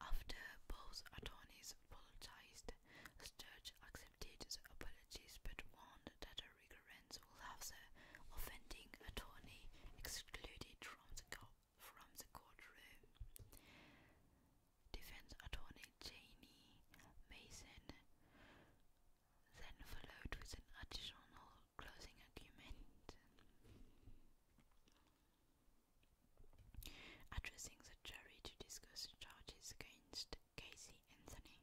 After both attorneys apologized, the judge accepted the apologies but warned that a recurrence will have the offending attorney excluded from the, from the courtroom. Defense attorney Janie Mason then followed with an additional closing argument addressing the jury to discuss charges against Casey Anthony.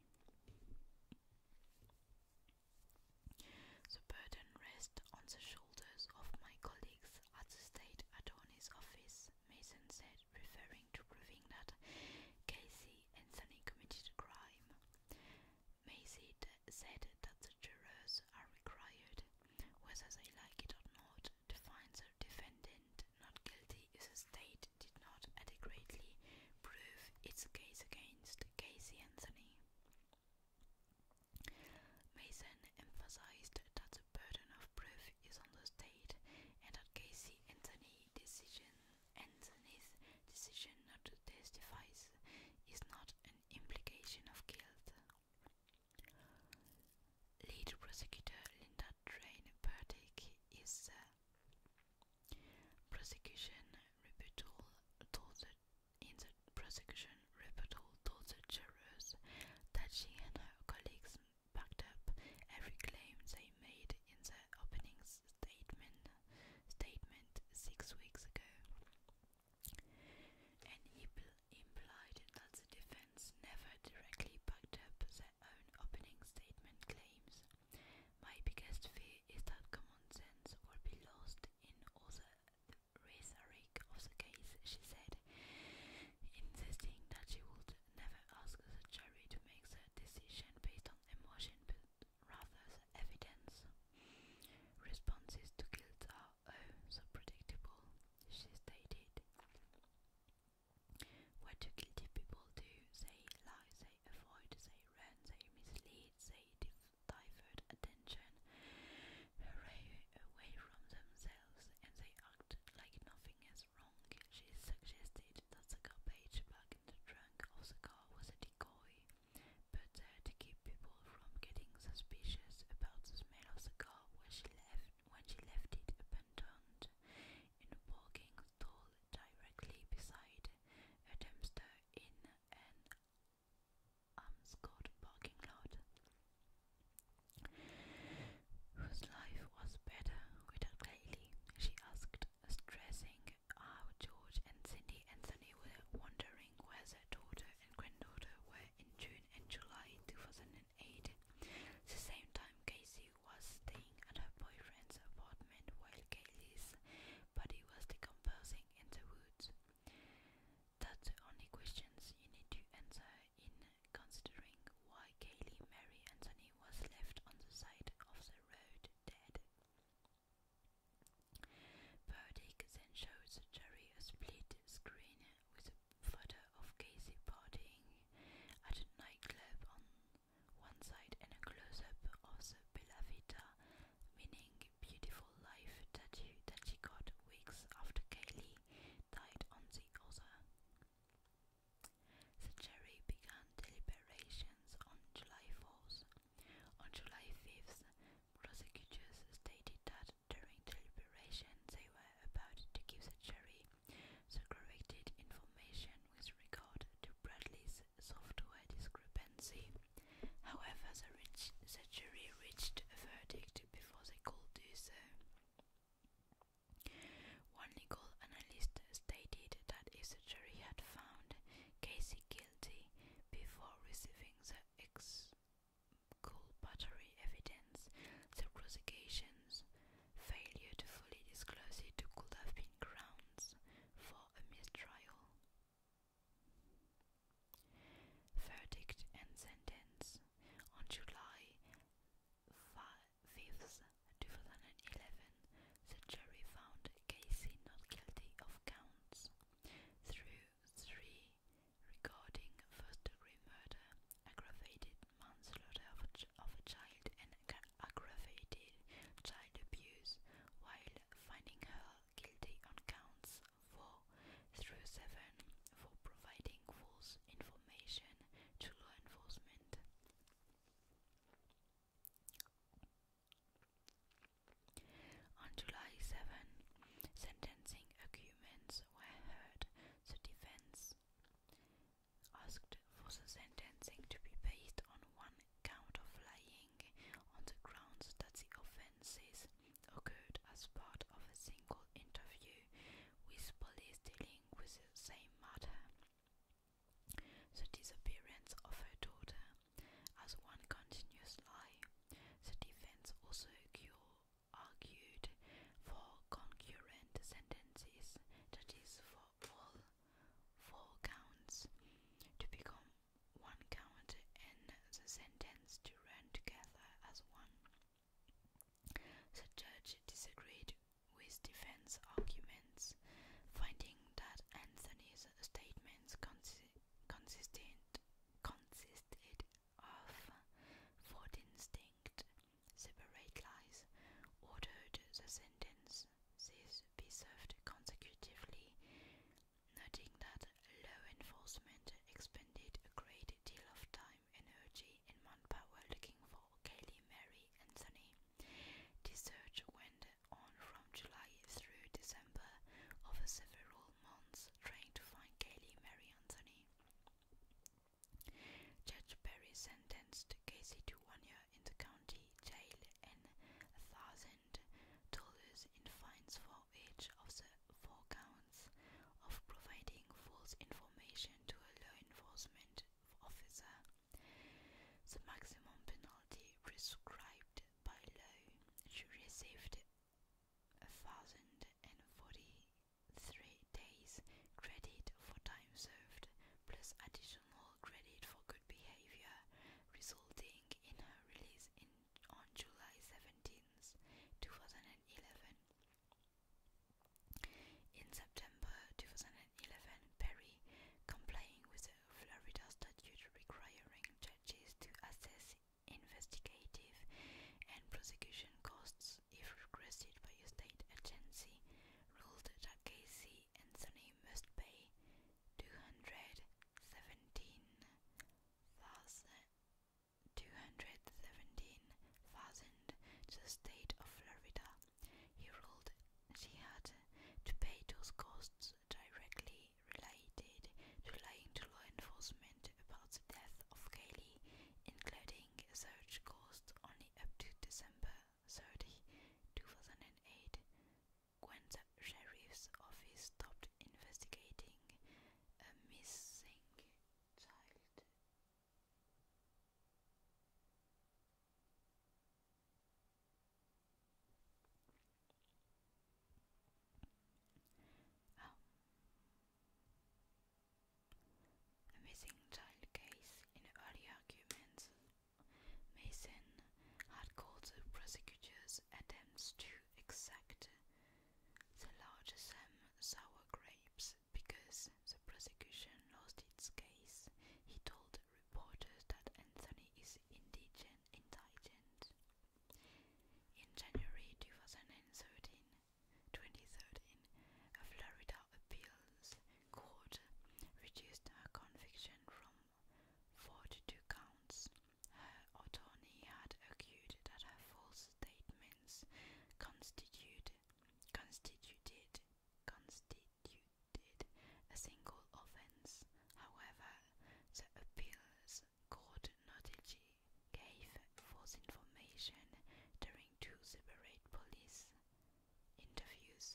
The burden rests on the shoulders of my colleagues at the State Attorney's Office, Mason said, referring to proving that Casey Anthony committed a crime. Mason said that the jurors are required whether they like it or not, to find the defendant not guilty if the state did not adequately prove its case against Casey Anthony. Mason emphasized that the burden of proof is on the state and that Casey Anthony decision Anthony's decision not to testify is not an implication of guilt. Lead prosecutor Linda Drain Burdick is the uh, prosecution rebuttal told the, in the prosecution rebuttal told the jurors that she and her colleagues backed up every claim they made in the opening statement statement six weeks ago implied that the defense never directly backed up their own opening statement claims. My biggest fear is that common sense will be lost in all the rhetoric of the case, she said, insisting that she would never ask the jury to make their decision based on emotion but rather the evidence. Responses to guilt are oh, so predictable, she stated. What do guilty people do? They lie, they avoid, they run, they mislead, they divert attention away from themselves, and they act like nothing is wrong. She suggested that the garbage bag in the trunk of the car was a decoy, but uh, to keep people from getting suspicious about the smell of the car where she left when she left it abandoned in a walking stall directly beside a dumpster in an Amscot parking lot, whose life was better without Claylee, she asked, stressing how George and Cindy Anthony were wondering where their daughter and granddaughter were in June and July 2011. 2008. The same time, Casey was staying at her boyfriend's apartment while Kaylee's body was decomposing in the woods. That's the only questions you need to answer in considering why Kaylee Mary Anthony was left on the side of the road dead. Burdick then shows the jury a split screen with photo of Casey partying at a nightclub on one side and a close-up of the Bella Vita, meaning beautiful life tattoo that she got weeks after Kaylee died on the other. The jury began deliberations on July 4th. On July 5th, prosecutors stated that during deliberation they were about to give the jury the corrected information with regard to Bradley's software discrepancy. However, the, jury reached a verdict before they could do so. One legal analyst stated that if the jury had found Casey guilty before receiving the ex cool buttery evidence, the prosecution's failure to fully disclose it could have been grounds for a mistrial. Verdict and sentence on July 5th, 2011, the jury found Casey not guilty of counts through three regarding first degree murder, aggravated manslaughter of a, child and aggravated child abuse, while finding her guilty on counts 4 through 7 for providing false information to law enforcement. On July 7, sentencing arguments were heard. The defense asked for the sentencing to be based on one count of lying on the grounds that the offences occurred as part of a single interview with police dealing with the same matter. The disappearance of her daughter as one continuous lie. The defense also accused argued for concurrent sentences, that is, for all four counts to become one count and the sentence to run together as one. The judge disagreed with defense arguments, finding that Anthony's statements consistent consisted, of four distinct separate lies, ordered the sentence these be served consecutively, noting that law enforcement expended a great deal of time, energy, and manpower looking for Kaylee Mary Anthony. The search went on from July through December over several months trying to find Kaylee Mary Anthony. Judge Perry sentenced Casey to one year in the county jail and $1,000 in fines for each of the four counts of providing false information to a law enforcement officer. The maximum penalty prescribed by law, she received $1,040 three days credit for time served plus additional credit for good behavior, resulting in her release on July 17, 2011. In September 2011, Perry, complying with the Florida statute requiring judges to assess investigative and prosecution costs, if requested by a state agency, ruled that Casey and Sonny must pay two hundred seventeen thousand two hundred seventeen thousand to the state of Florida. He ruled she had to pay those costs directly related to lying to law enforcement about the death of Kaylee, including a search cost on up to December 30, 2008, when the sheriff's office stopped investigating a missing child. A missing child case in early arguments, Mason had called the prosecutor's attempts to exact the largest sum sour grapes because the prosecution lost its case. He told reporters that Anthony is indigent, In January 2013, 2013, a Florida appeals court reduced her conviction from four to two counts. Her attorney had argued that her false statements constituted constituted constituted a single offense. However, the appeals court noted she gave false information during two separate police interviews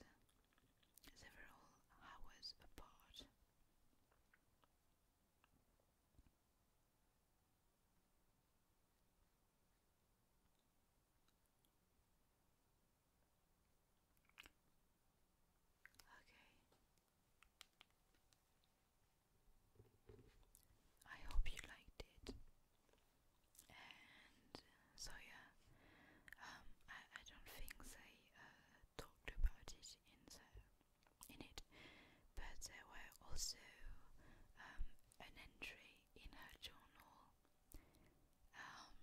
several hours apart. Okay. I hope you liked it and so yeah, um, I, I don't think they uh, talked about it in the in it, but there were also um, an entry in her journal. Um,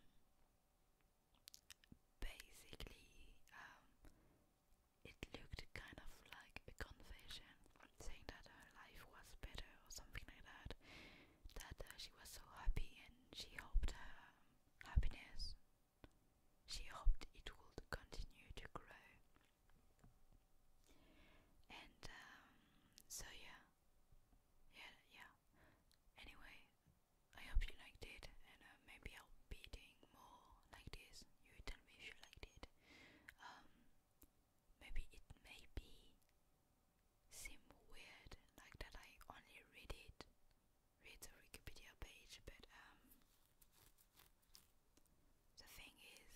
basically, um, it looked kind of like a confession, saying that her life was better or something like that that uh, she was so happy and she hoped her uh, happiness, she hoped it would continue to grow. And um, so, yeah, yeah, yeah. Anyway, I hope you liked it, and uh, maybe I'll be doing more like this. You tell me if you liked it. Um, maybe it may be seem weird, like that I only read it, read the Wikipedia page, but um, the thing is,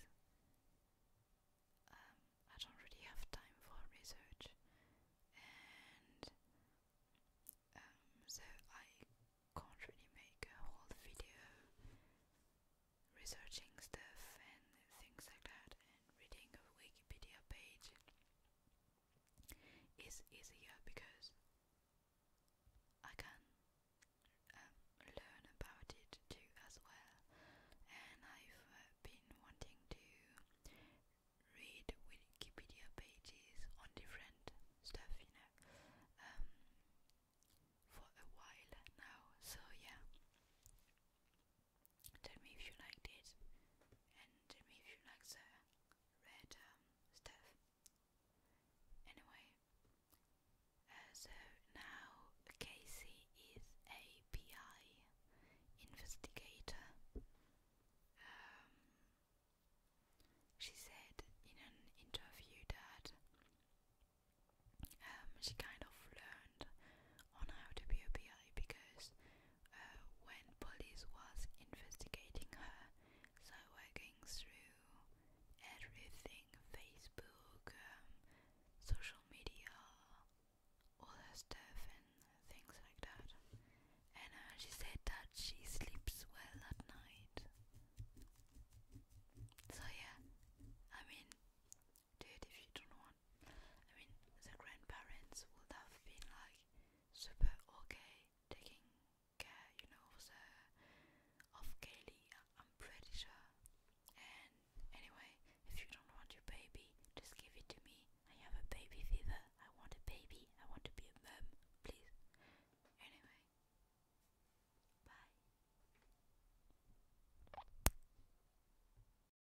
um, I don't really have time for research, and um, so I can't really make a whole video researching stuff and things like that reading a Wikipedia page is easier because I can um, learn about it too as well. And I've uh, been wanting to read Wikipedia pages on different stuff, you know, um, for a while now. So yeah. Tell me if you liked it, and tell me if you like the red um, stuff. Anyway, uh, so now Casey is a PI investigator. Um, she said in an interview that um, she kind of learned hand on how to be a PI because uh, when police was investigating her, so working through everything, Facebook, um, social media, all her stuff and things like that. And uh, she said that she sleeps well at night. So yeah, I mean, dude, if you don't want I mean, the grandparents would have been like super okay taking care, you know, of the of Kaylee. I'm pretty sure. And anyway, if you don't want your baby, just give it to me. I have a baby fever. I want a baby. I want to be a mum, please. Anyway, bye.